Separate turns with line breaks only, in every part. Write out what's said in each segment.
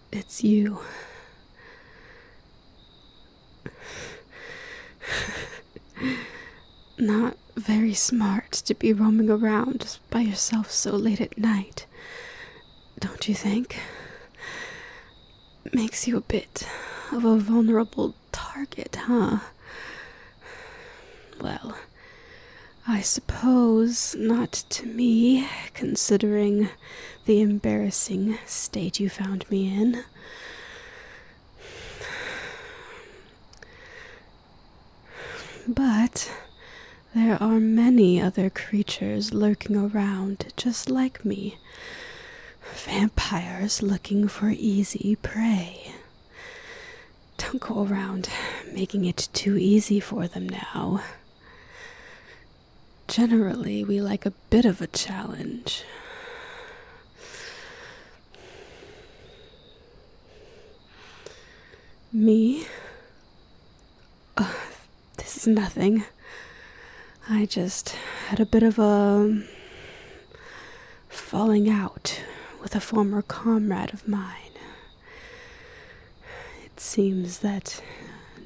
It's you. Not very smart to be roaming around just by yourself so late at night, don't you think? Makes you a bit of a vulnerable target, huh? Well, I suppose not to me, considering the embarrassing state you found me in. But there are many other creatures lurking around just like me, vampires looking for easy prey. Don't go around making it too easy for them now. Generally, we like a bit of a challenge. Me? this is nothing. I just had a bit of a falling out with a former comrade of mine. It seems that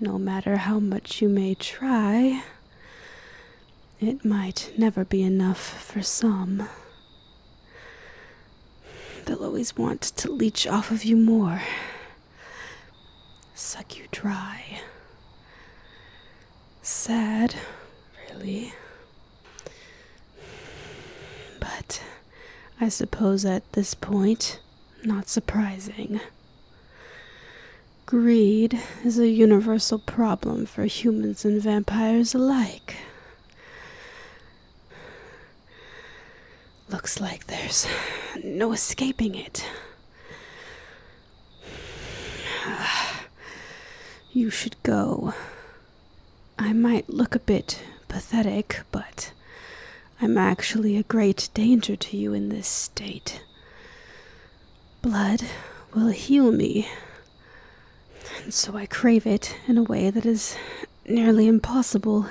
no matter how much you may try, it might never be enough for some. They'll always want to leech off of you more, suck you dry. Sad, really. But I suppose at this point, not surprising. Greed is a universal problem for humans and vampires alike. Looks like there's no escaping it. You should go. I might look a bit pathetic, but I'm actually a great danger to you in this state. Blood will heal me, and so I crave it in a way that is nearly impossible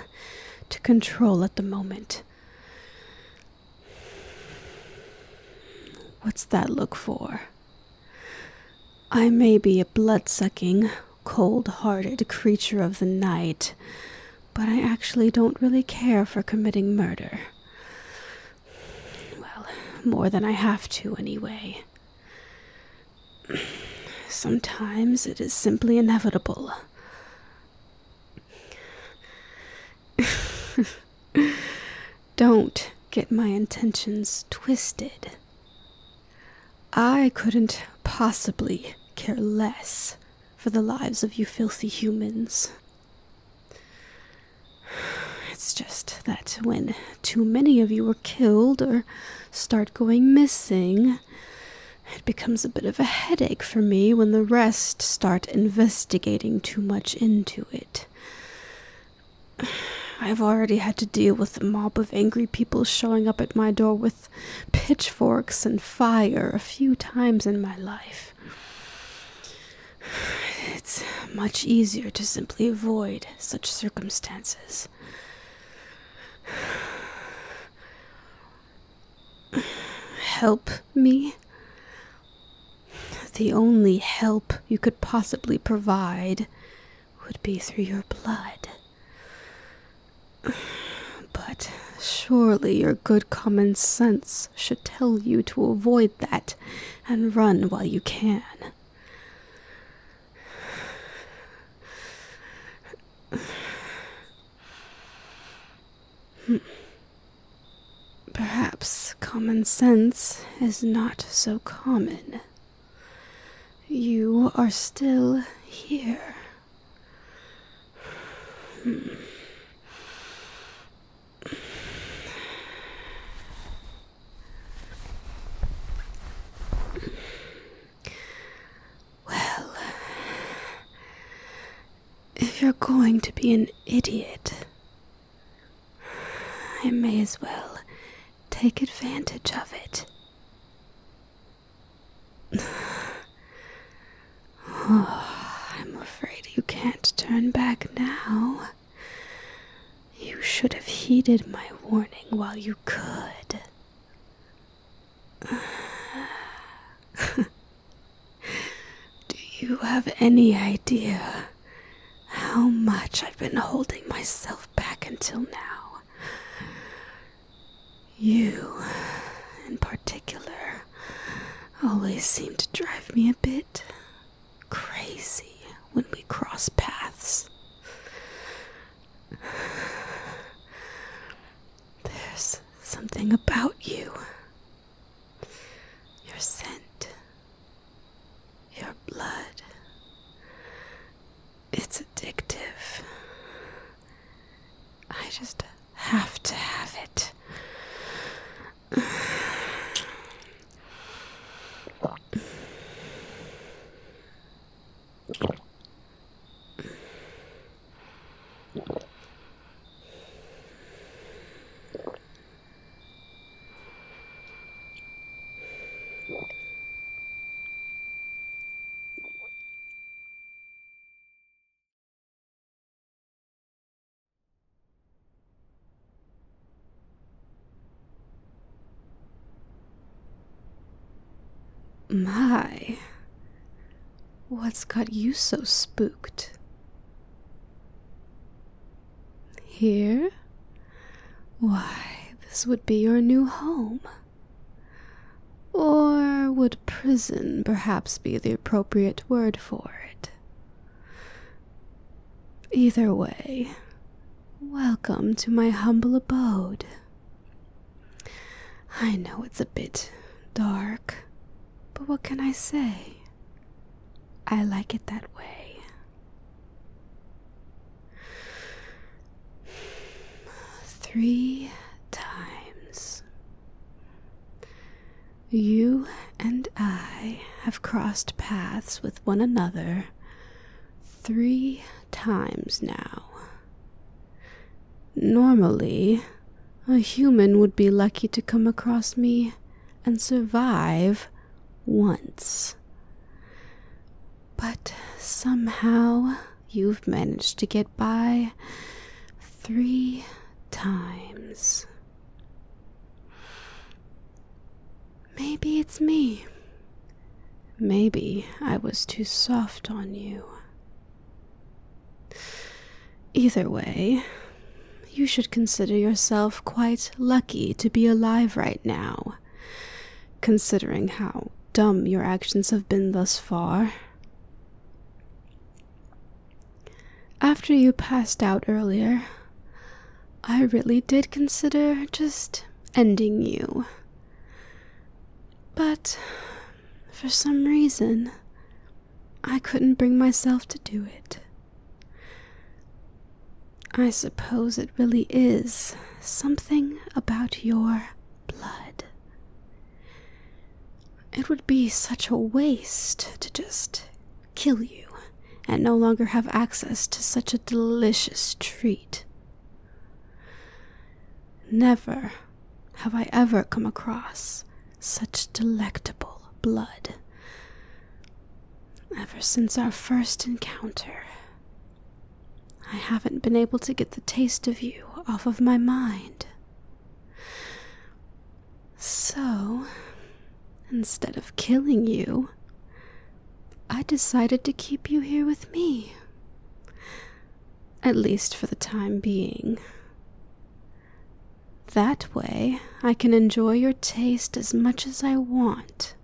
to control at the moment. What's that look for? I may be a blood sucking cold hearted creature of the night, but I actually don't really care for committing murder. Well, more than I have to, anyway. Sometimes it is simply inevitable. Don't get my intentions twisted. I couldn't possibly care less for the lives of you filthy humans. It's just that when too many of you are killed or start going missing, it becomes a bit of a headache for me when the rest start investigating too much into it. I've already had to deal with a mob of angry people showing up at my door with pitchforks and fire a few times in my life. It's much easier to simply avoid such circumstances. Help me? The only help you could possibly provide would be through your blood. But surely your good common sense should tell you to avoid that and run while you can. Perhaps common sense is not so common. You are still here. Well, if you're going to be an idiot, I may as well take advantage of it. Oh, I'm afraid you can't turn back now. You should have heeded my warning while you could. Do you have any idea how much I've been holding myself back until now. You, in particular, always seem to drive me a bit crazy when we cross paths. There's something about you. Your scent, your blood. It's addictive. I just have to have it. My. What's got you so spooked? Here why, this would be your new home. Or would prison perhaps be the appropriate word for it? Either way, welcome to my humble abode. I know it's a bit dark, but what can I say? I like it that way. Three times. You and I have crossed paths with one another three times now. Normally, a human would be lucky to come across me and survive once. But somehow you've managed to get by three times. Maybe it's me. Maybe I was too soft on you. Either way, you should consider yourself quite lucky to be alive right now, considering how dumb your actions have been thus far. After you passed out earlier, I really did consider just ending you. But for some reason, I couldn't bring myself to do it. I suppose it really is something about your blood. It would be such a waste to just kill you and no longer have access to such a delicious treat. Never have I ever come across such delectable blood. Ever since our first encounter, I haven't been able to get the taste of you off of my mind. So, instead of killing you, I decided to keep you here with me. At least for the time being. That way, I can enjoy your taste as much as I want,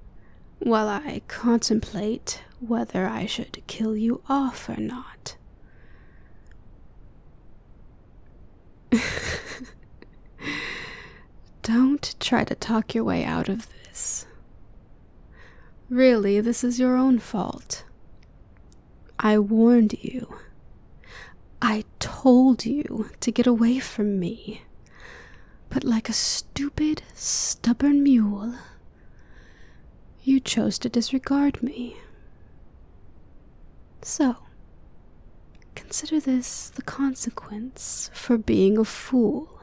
while I contemplate whether I should kill you off or not. Don't try to talk your way out of this. Really, this is your own fault. I warned you. I told you to get away from me, but like a stupid, stubborn mule, you chose to disregard me. So, consider this the consequence for being a fool.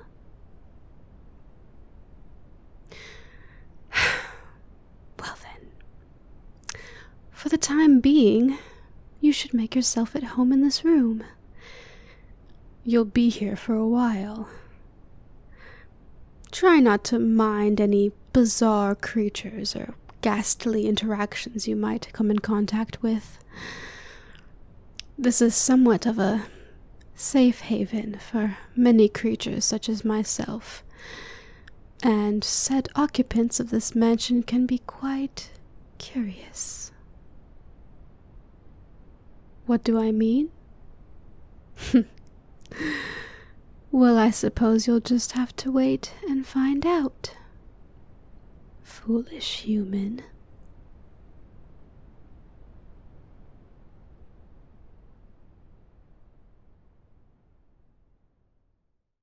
well, then, for the time being, you should make yourself at home in this room. You'll be here for a while. Try not to mind any bizarre creatures or ghastly interactions you might come in contact with. This is somewhat of a safe haven for many creatures such as myself, and said occupants of this mansion can be quite curious. What do I mean? well, I suppose you'll just have to wait and find out. Foolish human.